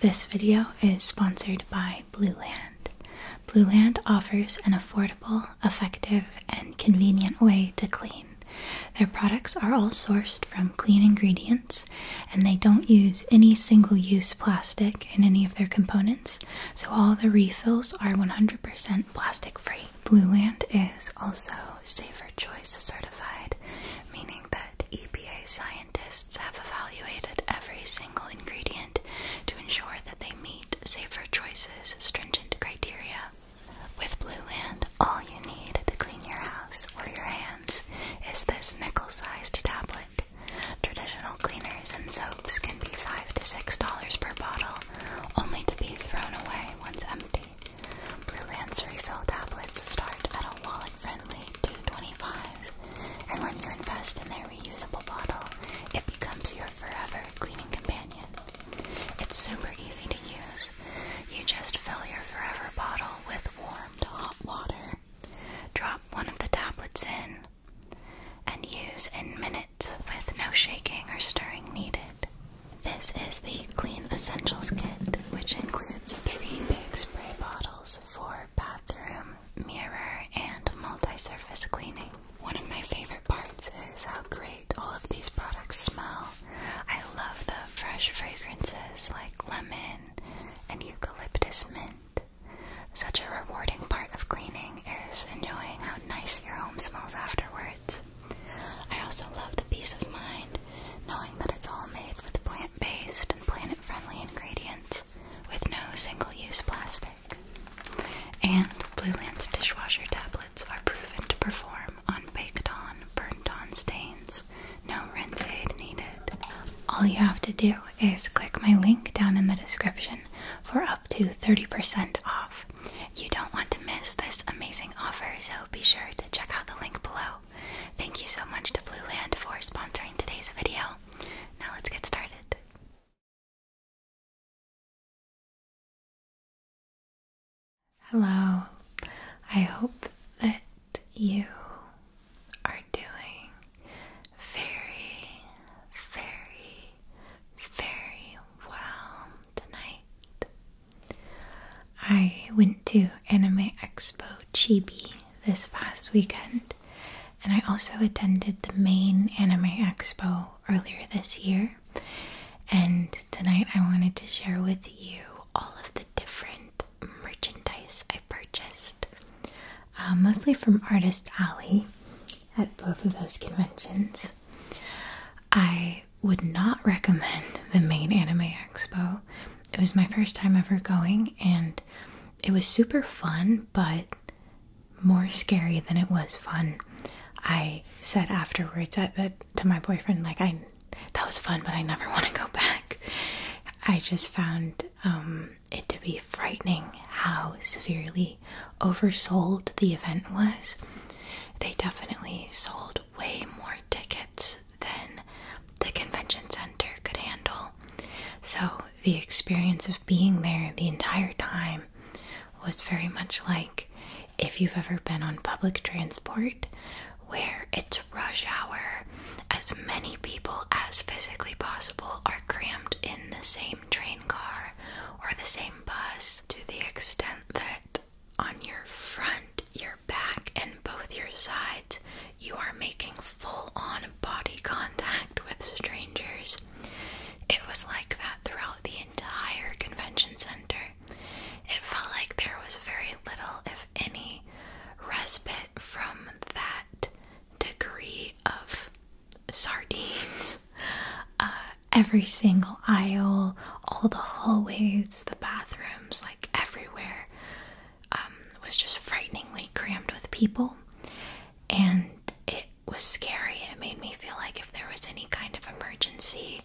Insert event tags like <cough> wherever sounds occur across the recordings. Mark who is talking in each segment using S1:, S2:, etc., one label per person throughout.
S1: This video is sponsored by Blueland. Blueland offers an affordable, effective, and convenient way to clean. Their products are all sourced from clean ingredients and they don't use any single use plastic in any of their components, so all the refills are 100% plastic free. Blueland is also Safer Choice certified, meaning that EPA science scientists have evaluated every single ingredient to ensure that they meet Safer Choices stringent criteria. With Blue Land, all you need to clean your house or your hands is this nickel sized tablet. Traditional cleaners and soaps can be 5 to 6 dollars per bottle, only to be thrown away once empty. Blue Land's refill tablets start at a wallet friendly, 2 25 And when you invest in their reusable bottle, it becomes your forever cleaning companion. It's super easy to use. You just fill your forever bottle with warmed hot water, drop one of the tablets in, and use in minutes with no shaking or stirring needed. This is the Clean Essentials Kit, which includes three big spray bottles, for bathroom, mirror, and multi-surface cleaning. One of my favorite parts is how great all of these products smell. I love the fresh fragrances like lemon and eucalyptus mint. Such a rewarding part of cleaning is enjoying how nice your home smells afterwards. I also love the peace of mind knowing that it's all made with plant-based planet-friendly ingredients with no single-use plastic. And Blue Lance dishwasher tablets are proven to perform on baked-on, burnt-on stains. No rinse aid needed. All you have to do is click my link down in the description for up to 30% off. You don't want to miss this amazing offer, so be sure to check out the link below thank you so much to Blue Land for sponsoring today's video. Now let's get started. Hello, I hope that you are doing very, very, very well tonight. I went to Anime Expo Chibi this past weekend, and I also attended the main anime expo earlier this year. And tonight I wanted to share with you all of the different merchandise I purchased, uh, mostly from Artist Alley at both of those conventions. I would not recommend the main anime expo. It was my first time ever going, and it was super fun, but more scary than it was fun. I said afterwards to my boyfriend, like I that was fun, but I never <laughs> want to go back. I just found um, it to be frightening how severely oversold the event was. They definitely sold way more tickets than the convention center could handle. So the experience of being there the entire time was very much like if you've ever been on public transport where it's rush hour, as many people as physically possible are crammed in the same train car or the same bus to the extent that on your front, your back, and both your sides, you are making full on body contact with strangers. It was like that throughout the entire convention center. It felt like there was very little, if any, respite from that degree of sardines. Uh, every single aisle, all the hallways, the bathrooms, like everywhere um, was just frighteningly crammed with people, and it was scary. It made me feel like if there was any kind of emergency,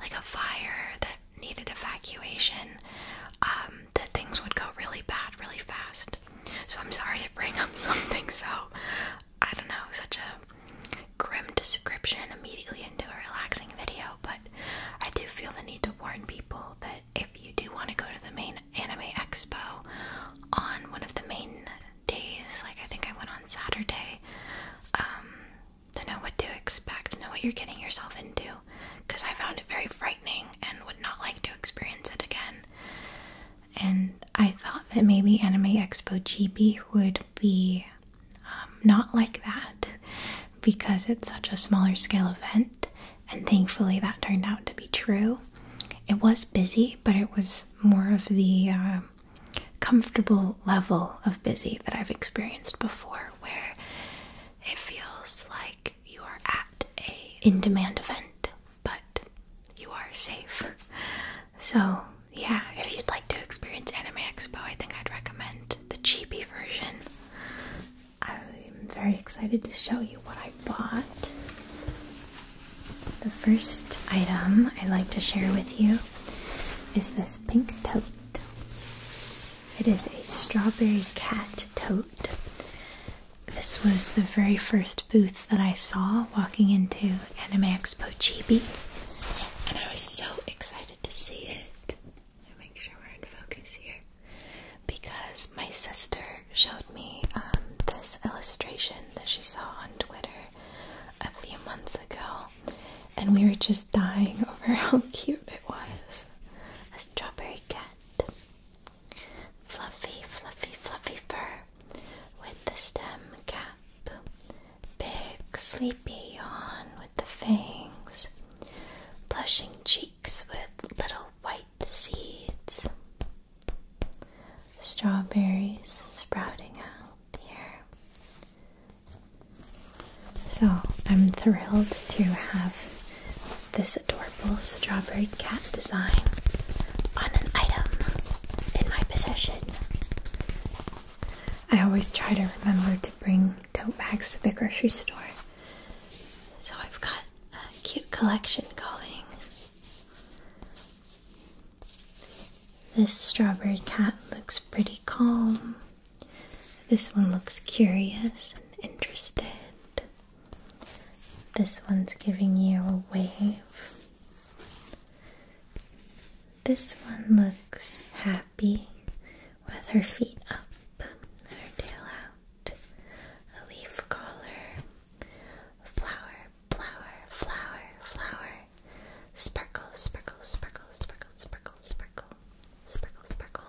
S1: like a fire that needed evacuation, um, that things would go really bad really fast. So I'm sorry to bring up <laughs> something so I don't know, such a grim description immediately into a relaxing video, but I do feel the need to warn people that if you do want to go to the main anime expo on one of the main days, like I think I went on Saturday, um, to know what to expect, know what you're getting yourself into, because I found it very frightening and would not like to experience it again. And I thought that maybe Anime Expo GB would be um, not like that because it's such a smaller scale event, and thankfully that turned out to be true. It was busy, but it was more of the uh, comfortable level of busy that I've experienced before, where it feels like you are at a in-demand event, but you are safe. So yeah, if you'd like to experience Anime Expo, I think I'd recommend the cheapy version. I'm very excited to show you what I bought. The first item I'd like to share with you is this pink tote. It is a strawberry cat tote. This was the very first booth that I saw walking into Anime Expo Chibi, and I was so excited to see it. Let me make sure we're in focus here. Because my sister showed me um, this illustration that she saw on Twitter a few months ago, and we were just dying <laughs> over how cute it was. A strawberry cat. Fluffy, fluffy, fluffy fur with the stem cap. Big, sleepy yawn with the fangs. Blushing cheeks with little white seeds, strawberries sprouting out here. So I'm thrilled to have this adorable strawberry cat design on an item in my possession. I always try to remember to bring tote bags to the grocery store. So I've got a cute collection going. This strawberry cat looks pretty calm. This one looks curious and interested. This one's giving you a wave. This one looks happy with her feet up and her tail out. A leaf collar. Flower, flower, flower, flower. Sparkle, sparkle, sparkle, sparkle, sparkle, sparkle. Sparkle, sparkle.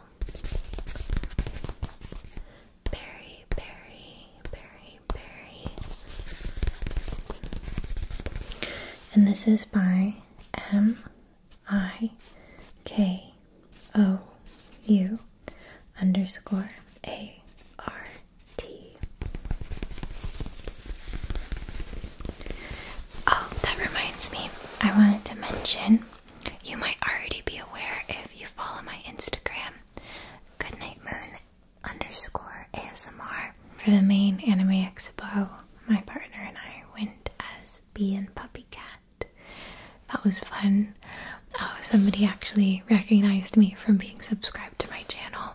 S1: Berry, berry, berry, berry. And this is by M. I K O U underscore A R T. Oh, that reminds me. I wanted to mention you might already be aware if you follow my Instagram, Goodnight Moon underscore ASMR. For the main Anime Expo, my partner and I went as B and Puppy Cat that. was fun. Oh, somebody actually recognized me from being subscribed to my channel,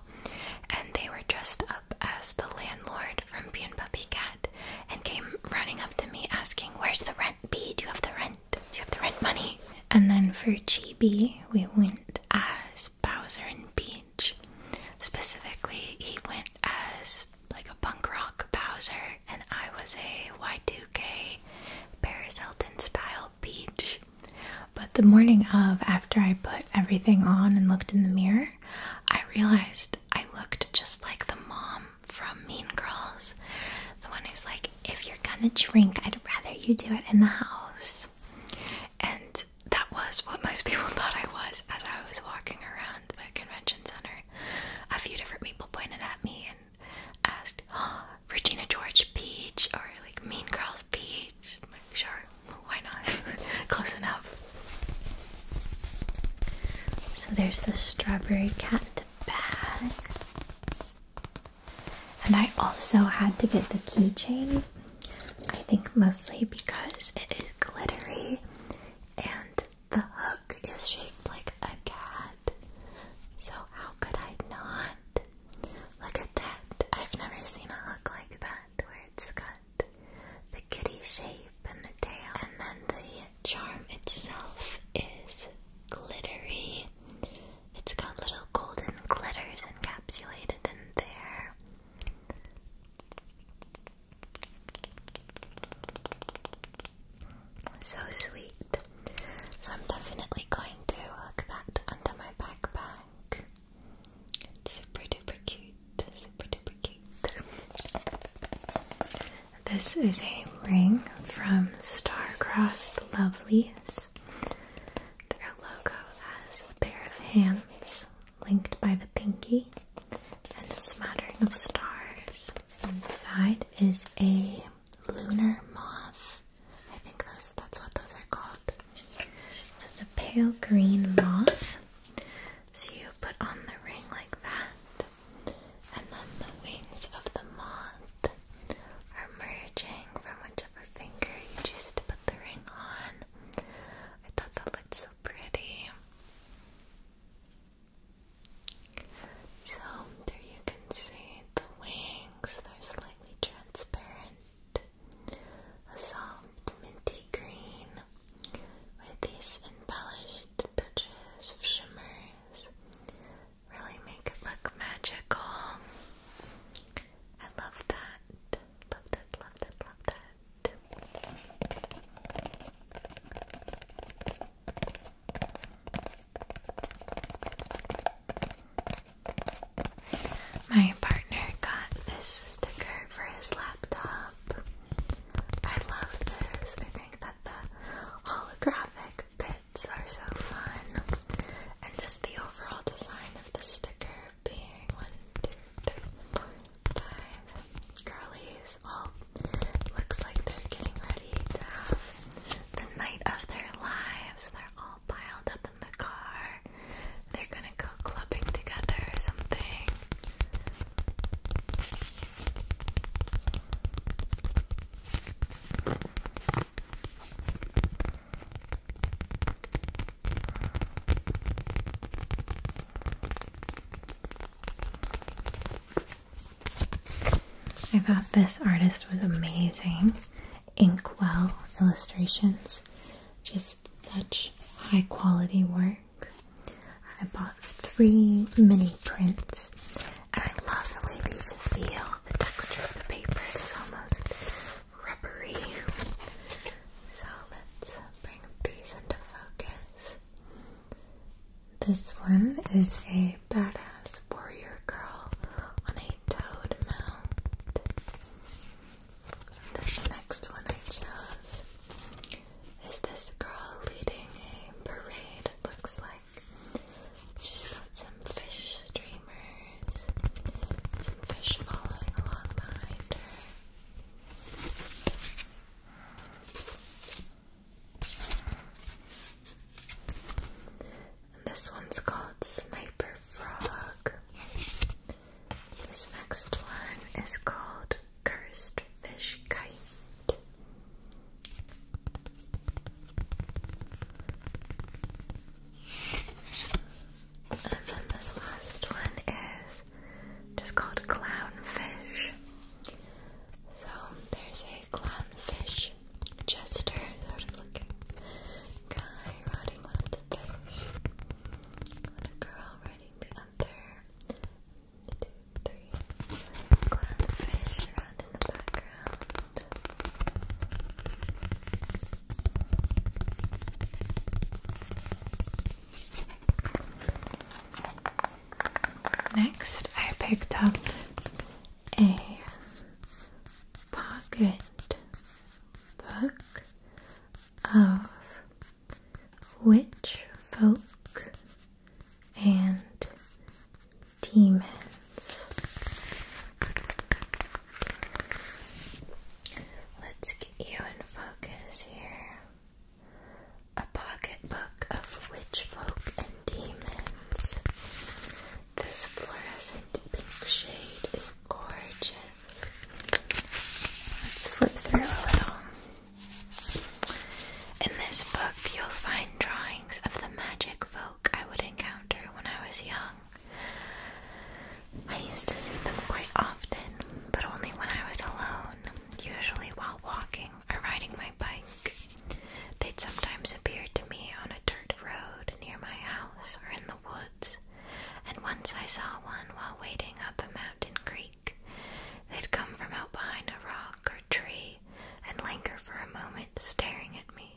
S1: and they were dressed up as the landlord from Bee and Puppy Cat and came running up to me asking, Where's the rent, B? Do you have the rent? Do you have the rent money? And then for Chibi, we went as Bowser and Peach. Specifically, he went as like like punk rock Bowser, and I was a Y2K Paris Hilton style peach. But the morning of, after I put everything on and looked in the mirror, I realized I looked just like the mom from Mean Girls. The one who's like, if you're gonna drink, I'd rather you do it in the house. And that was what most people <laughs> thought I was as I was walking around the convention center. A few different people pointed at me, and asked oh, Regina George Peach or like Mean Girls Peach. I'm sure, why not? <laughs> Close enough. So there's the strawberry cat bag. And I also had to get the keychain. I think mostly because it is glittery and the hook is shaped like a cat. So how could I not? Look at that. I've never seen a hook like that where it's got the kitty shape and the tail. And then the charm itself is glittery. It's got little golden glitters encapsulated in there. So sweet. So I'm definitely going to hook that under my backpack. It's super duper cute. Super duper cute. This is a ring from Starcrossed Lovelies. Their logo has a pair of hands linked by the pinky and a smattering of stars. Inside is a lunar moth. I think those that's what those are called. So it's a pale green moth. So you put on the ring like that. And then the wings of the moth are merging from whichever finger you just put the ring on. I thought that looked so pretty. So there you can see the wings, they're slightly transparent, a soft minty green with these embellished touches of shimmers really make it look magical. I love that. Love that, love that, love that. My partner got this sticker for his laptop. I love this. I think that the holographic bits are so fun. And just the overall design of the sticker being one, two, three, four, five curlies all Looks like they're getting ready to have the night of their lives. They're all piled up in the car. They're gonna go clubbing together or something. I thought this artist was amazing. Inkwell illustrations, just such high quality work. I bought three mini prints, and I love the way these feel. The texture of the paper is almost rubbery. So let's bring these into focus. This one is a badass warrior girl on a toad mount. This next one I chose is this girl leading a parade, it looks like. She's got some fish streamers, some fish following along behind her this one's called Sniper Frog. This next one is called Cursed Fish Kite. And then this last one is just called Clownfish. So there's clownfish jester sort of looking guy riding one of the fish, and a girl riding the other. One, two, three. Clownfish around in the background. Next, I picked up a pocket book of witch folk and demons. Let's get you in focus here. A pocket book of witch folk and demons. This fluorescent pink shade is gorgeous. Let's flip through a little. In this book, you'll find drawings of the magic folk I would encounter when I was young. I used to see them quite often, but only when I was alone usually while walking or riding my bike. They'd sometimes appear to me on a dirt road near my house or in the woods, and once I saw one while wading up a mountain creek. They'd come from out behind a rock or tree and linger for a moment, staring at me.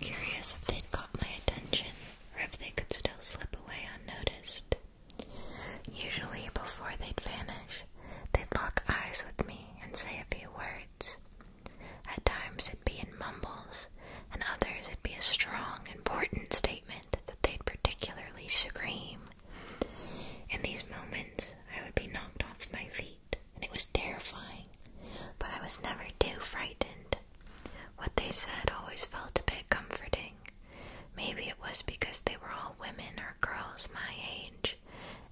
S1: Curious if they'd caught my attention or if they could still slip away unnoticed. Usually, before they'd vanish, they'd lock eyes with me and say a few words. At times it'd be in mumbles, and others it'd be a strong, important statement that they'd particularly scream. In these moments, I would be knocked off my feet, and it was terrifying, but I was never too frightened. What they said always felt a bit comforting. Maybe it was because they were all women or girls my age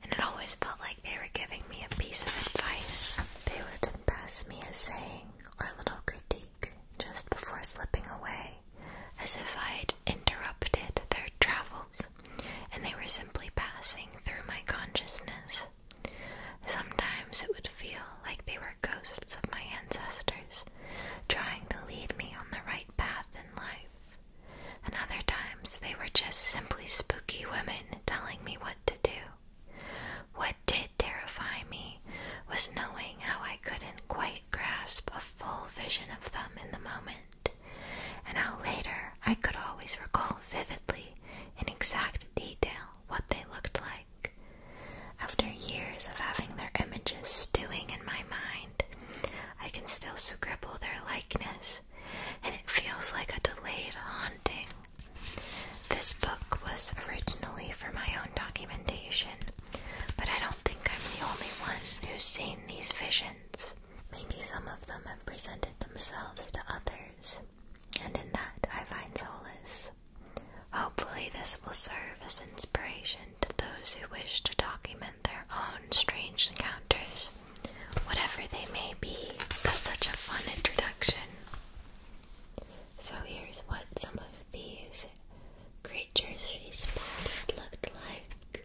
S1: and it always felt like they were giving me a piece of advice. They would pass me a saying or a little critique just before slipping away, as if I'd interrupted their travels, and they were simply passing through my consciousness. Sometimes it would feel like they were ghosts of my ancestors, trying to lead me on the right path in life and other times they were just simply spooky women telling me what to do. What did terrify me was knowing how I couldn't quite grasp a full vision of them in the moment, and how later I could always recall vividly in exact detail what they looked like. After years of having their images stewing in my mind, I can still scribble their likeness and it feels like a delayed haunting. This book was originally for my own documentation, but I don't think I'm the only one who's seen these visions. Maybe some of them have presented themselves to others, and in that I find solace. Hopefully, this will serve as inspiration to those who wish to document their own strange encounters, whatever they may be. That's such a fun introduction. So, here's what some of these creatures she spotted looked like.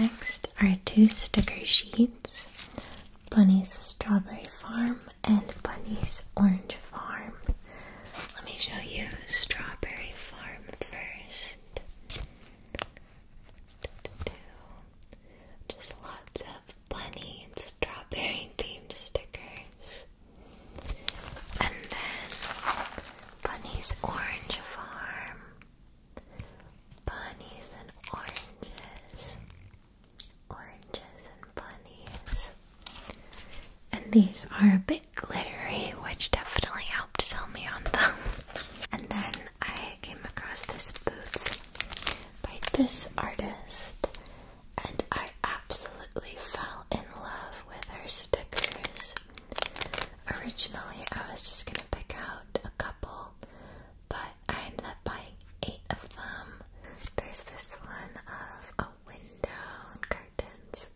S1: Next are two sticker sheets Bunny's Strawberry Farm and Bunny's Orange Farm. Let me show you Strawberry Farm first. Just lots of bunny and strawberry themed stickers. And then Bunny's Orange Farm. Bunnies and oranges oranges and bunnies. And these are a bit glittery, which definitely helped sell me on them. <laughs> and then I came across this booth by this artist, and I absolutely fell in love with her stickers. Originally, I was just gonna pick out a couple, but I ended up buying eight of them. There's this one of a window curtains,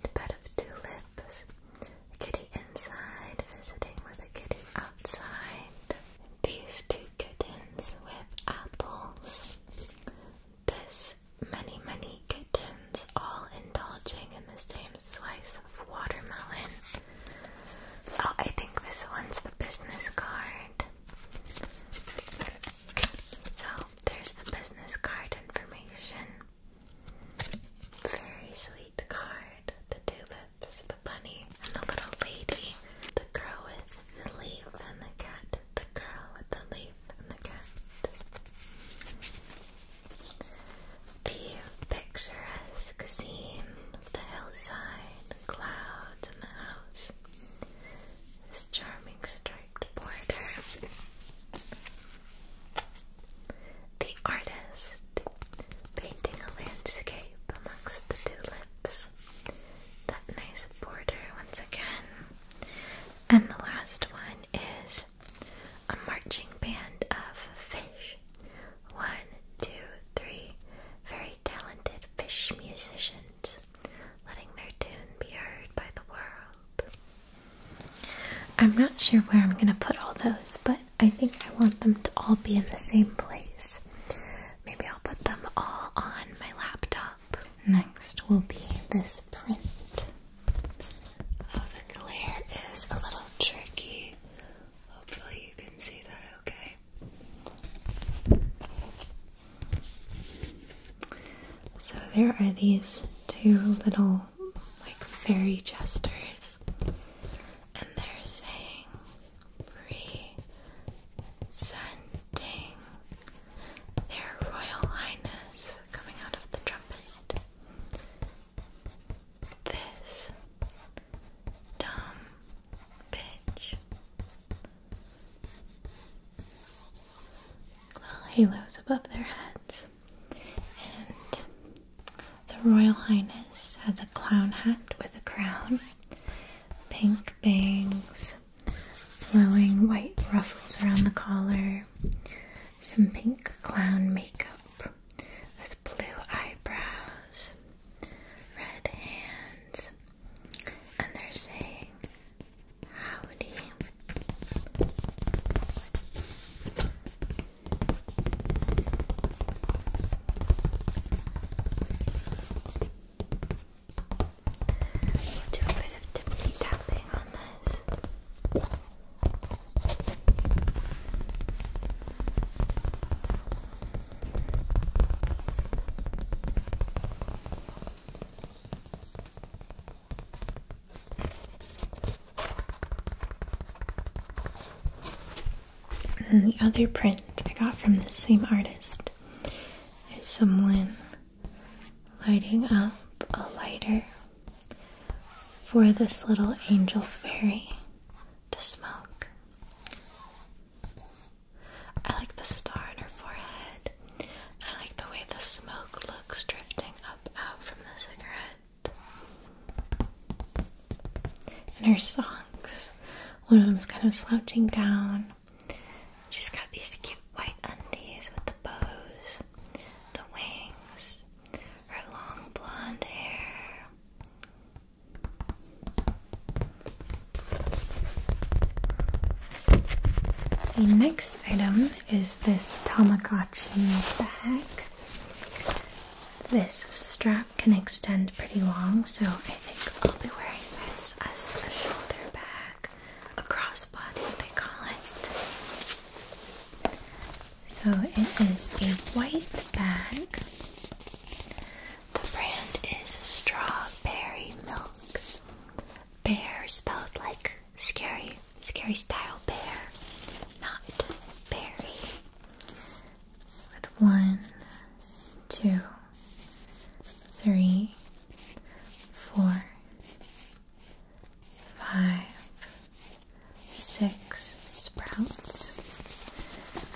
S1: and a bed of tulips, a kitty inside visiting with a kitty outside, these two kittens with apples, this many, many kittens all indulging in the same slice of watermelon. Oh, I think this one's the business card. So there's the business card information. Very sweet card. The tulips, the bunny, and the little lady. The girl with the leaf and the cat. The girl with the leaf and the cat. The picturesque scene the hillside, clouds, and the house. This charming striped border. The artist painting a landscape amongst the tulips. That nice border once again. And the last one is a marching band of fish. One, two, three. Very talented fish musicians, letting their tune be heard by the world. I'm not sure where I'm going to put all those, but I think I want them to all be in the same place. Maybe I'll put them all on my laptop. Next will be this print. Oh, the glare is a little tricky. Hopefully, you can see that okay. So there are these two little like fairy jesters, and they're saying presenting their royal highness coming out of the trumpet. This dumb Little halos above their heads. And the Royal Highness has a clown hat with a crown, pink bangs, flowing white ruffles around the collar, some pink clown makeup with blue eyebrows, red hands, and they're saying howdy. do a bit of tippity tapping on this. And the other print I got from the same artist is someone lighting up a lighter for this little angel fairy to smoke. I like the star on her forehead. I like the way the smoke looks drifting up out from the cigarette. And her socks. One of them's kind of slouching down. She's got these cute white undies with the bows, the wings, her long blonde hair. The next item is this Tamagotchi bag. This strap can extend pretty long, so I think I'll be wearing this as a shoulder bag, a crossbody they call it. So it is a white bag the brand is Strawberry Milk. Bear spelled like scary, scary style bear, not berry. With one, two, three, four, five, six sprouts.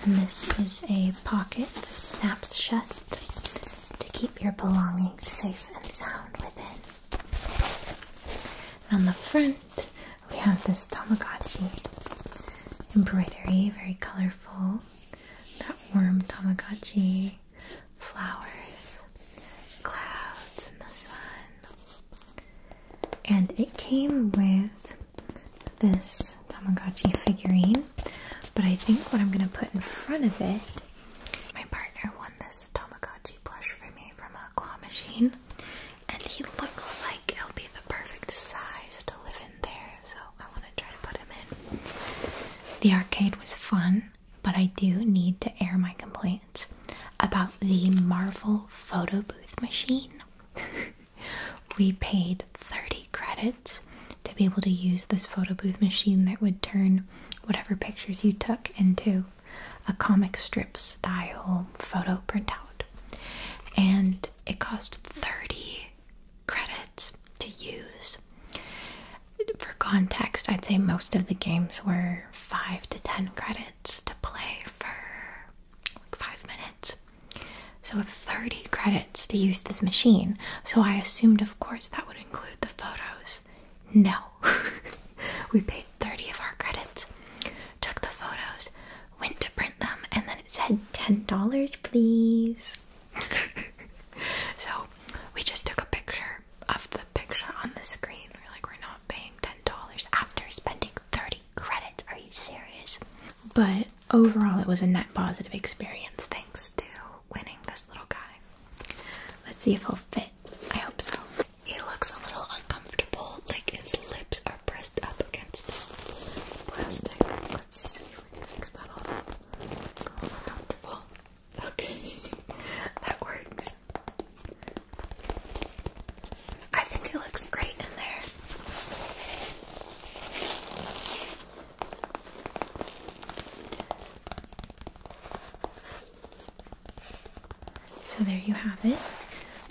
S1: And this is a pocket that snaps shut to keep your belongings safe and sound within. on the front, we have this Tamagotchi embroidery, very colorful. That warm Tamagotchi, flowers, clouds, and the sun. And it came with this Tamagotchi figurine, but I think what I'm gonna put in front of it. My partner won this Tamagotchi plush for me from a claw machine, and he looks like he'll be the perfect size to live in there, so I want to try to put him in. The arcade was fun, but I do need to air my complaints about the Marvel photo booth machine. <laughs> We paid 30 credits to be able to use this photo booth machine that would turn whatever pictures you took into a comic strip style photo printout. And it cost 30 credits to use. For context, I'd say most of the games were 5 to 10 credits to play for 5 minutes. So, 30 credits to use this machine. So, I assumed, of course, that would include the photos. No. <laughs> we paid 30 of our credits, took the photos, went to print them, and then it said $10, please. <laughs> so, we just took a picture of the picture on the screen. We're like, we're not paying $10 after spending 30 credits. Are you serious? But overall, it was a net positive experience thanks to winning this little guy. Let's see if he'll fit. I hope so. He looks a little uncomfortable, like his lips are pressed up against this plastic. Let's see if we can fix that all up. uncomfortable. Okay, <laughs> that works. I think it looks great in there. So there you have it.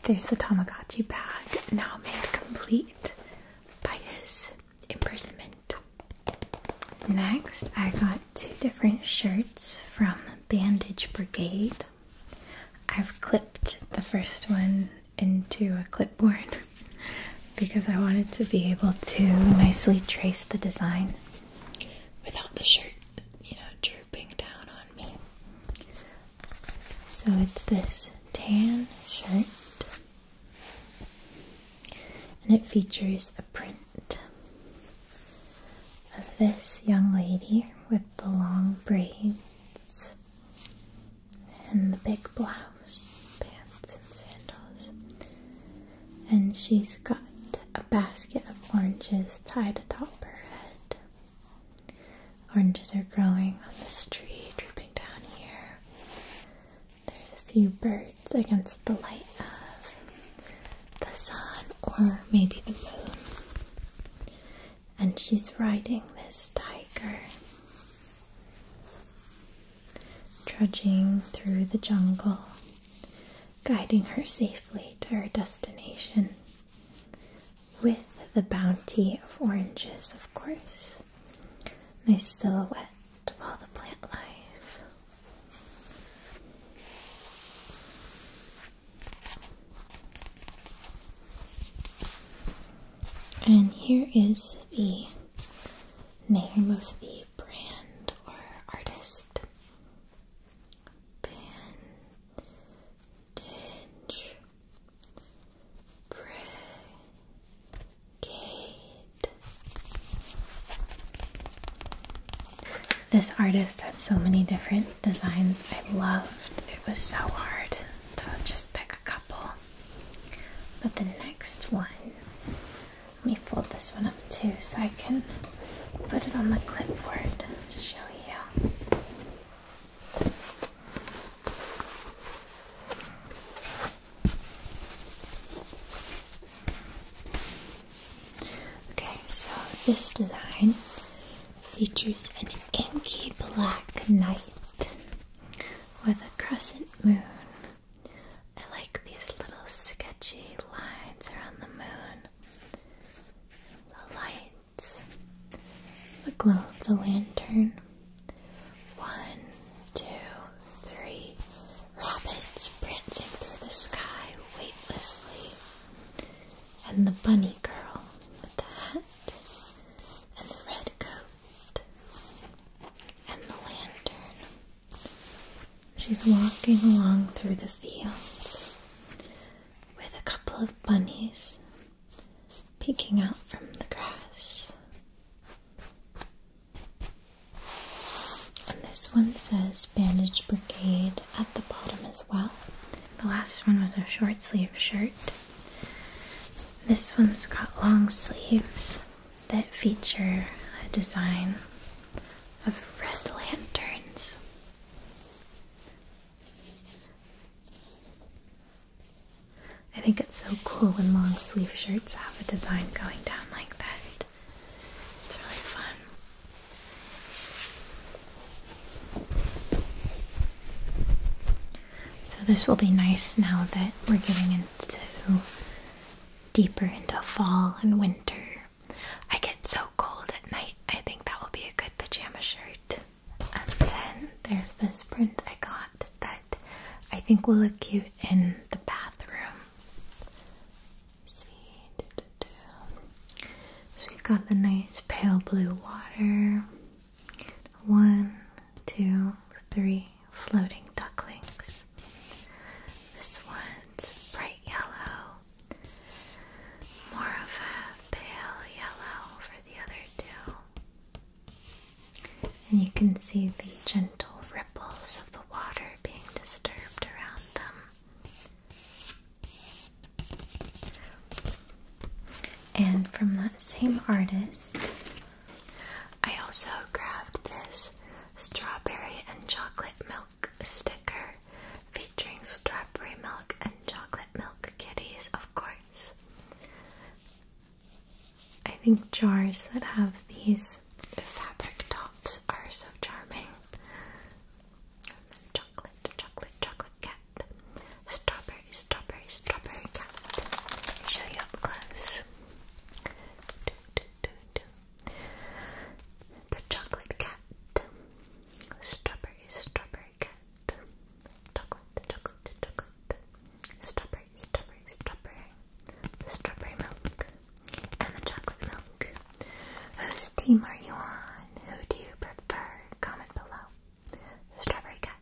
S1: There's the Tamagotchi bag, now made complete by his imprisonment. Next, I got two different shirts from Bandage Brigade. I've clipped the first one into a clipboard <laughs> because I wanted to be able to nicely trace the design without the shirt, you know, drooping down on me. So it's this tan shirt. And it features a print of this young lady with the long braids and the big blouse, pants, and sandals. And she's got a basket of oranges tied atop her head. Oranges are growing on the tree, drooping down here. There's a few birds against the light of the sun or maybe the moon. And she's riding this tiger trudging through the jungle, guiding her safely to her destination with the bounty of oranges, of course. Nice silhouette of all the plant life. And here is the name of the brand or artist. Bandage Brigade. This artist had so many different designs I loved. It was so hard to just pick a couple. But the next one, let me fold this one up too so I can put it on the clipboard to show you. Okay, so this design features an inky black night with a crescent moon. I like these little sketchy lines around the moon. The light, the glow of the lantern. One, two, three. Rabbits prancing through the sky weightlessly. And the bunny girl with the hat and the red coat and the lantern. She's walking along through the fields with a couple of bunnies peeking out from the grass. And this one says Bandage Brigade at the bottom as well. The last one was a short sleeve shirt. This one's got long sleeves that feature a design of red lanterns. I think it's so cool when long sleeve shirts have a design going down like that. It's really fun. So this will be nice now that we're getting into deeper into fall and winter. I get so cold at night. I think that will be a good pajama shirt. And then there's this print I got that I think will look cute in the bathroom. see, so we've got the nice pale blue water. One, two, three floating ducklings. This one's bright yellow, more of a pale yellow for the other two. And you can see the gentle ripples of the water being disturbed around them. And from that same artist, I also grabbed this strawberry and chocolate milk sticker featuring strawberry milk and chocolate milk kitties, of course. I think jars that have these fabric tops are so charming. Chocolate, chocolate, chocolate cat, strawberry strawberry, strawberry, cat. Let me show you up close. The chocolate cat. Strawberry, strawberry cat. Chocolate, chocolate, chocolate. Strawberry, strawberry, strawberry. The strawberry milk. And the chocolate milk. Whose team are you on? Who do you prefer? Comment below strawberry cat,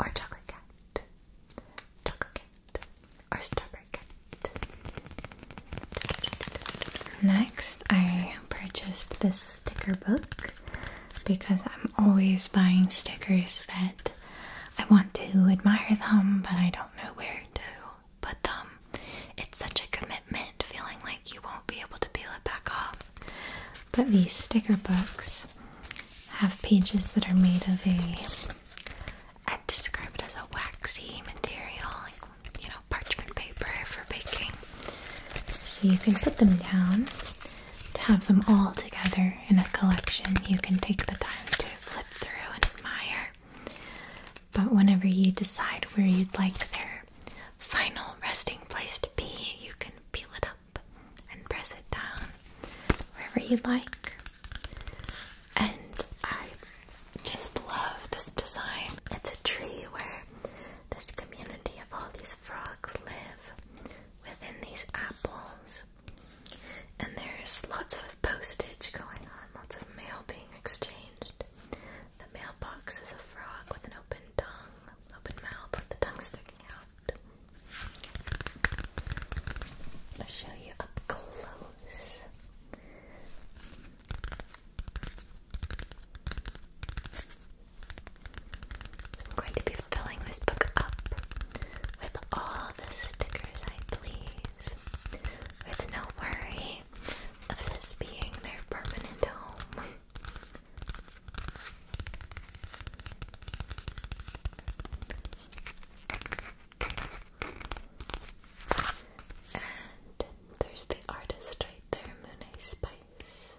S1: or chocolate cat, chocolate cat, or strawberry cat. Next, I purchased this sticker book because I'm always buying stickers that I want to admire them, but I don't know where to put them. It's such a commitment feeling like you won't be able to peel it back off. But these sticker books have pages that are made of a, describe it as a waxy material, like, you know, parchment paper for baking. So you can put them down to have them all together in a collection. You can take the time to flip through and admire. But whenever you decide where you'd like their final resting place to be, you can peel it up and press it down wherever you like. And I just love this design. It's a tree where this community of all these frogs live within these apples. And there's lots of postage going on, lots of mail being exchanged. The mailbox is a frog with an open tongue, open mouth with the tongue sticking out. I'll show you up close. I'm going to be filling this book up with all the stickers I please, with no worry of this being their permanent home. And there's the artist right there, Moon Spice.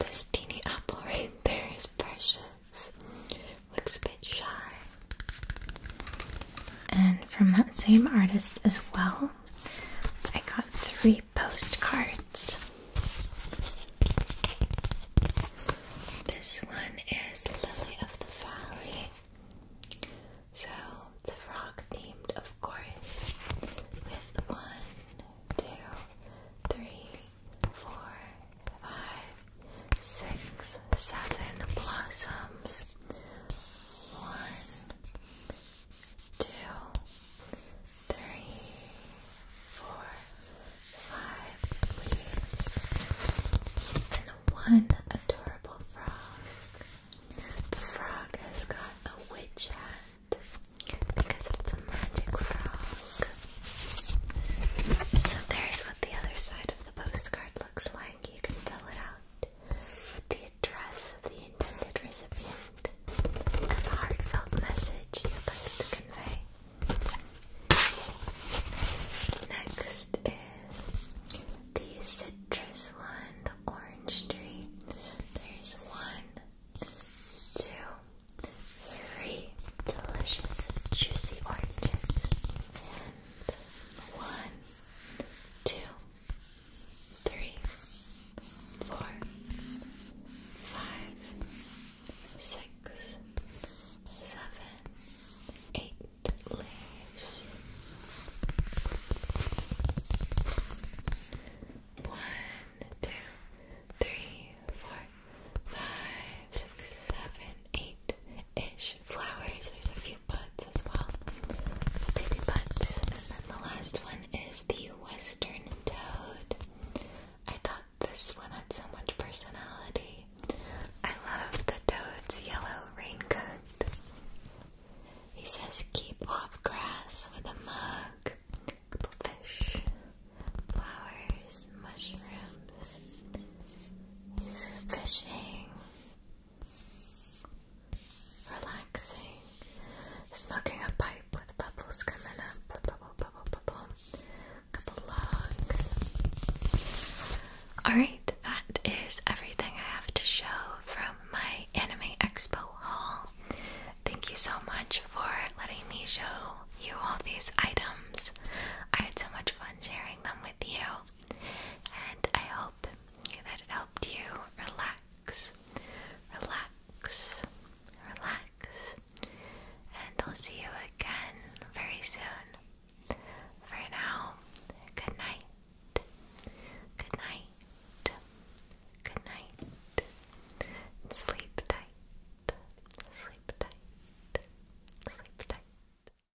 S1: This teeny apple right there is precious. Looks a bit shy. And from that same artist as well, I got three postcards. This one is Lily of the Valley. So the frog themed, of course, with one, two, three, four, five, six seven blossoms. One, two, three, four, five leaves, and one adorable frog. The frog has got a witch hat because it's a magic frog. So there's what the other side of the postcard looks like. You can fill it out with the address of the intended recipient and the heartfelt message you'd like to convey. Next is the citrus one, the orange tree. There's one, two, three delicious juicy oranges and one, two, three, four, five, six, seven, eight leaves. One, two, three, four, five, six, seven, eight ish flowers. There's a few buds as well. baby buds. And then the last one is the western toad. I thought this one had so much personality. I love the toad's yellow raincoat. He says, keep off grass with a mug. fish, flowers, mushrooms. He's fishing. Relaxing. Smoking a pipe with bubbles coming up. Couple logs. Alright, that is everything I have to show from my Anime Expo haul. Thank you so much for letting me show you all these items. I had so much fun sharing them with you. And I hope that it helped you relax, relax, relax. And I'll see you again very soon. For now, good night. Good night. Good night. Sleep tight. Sleep tight. Sleep tight.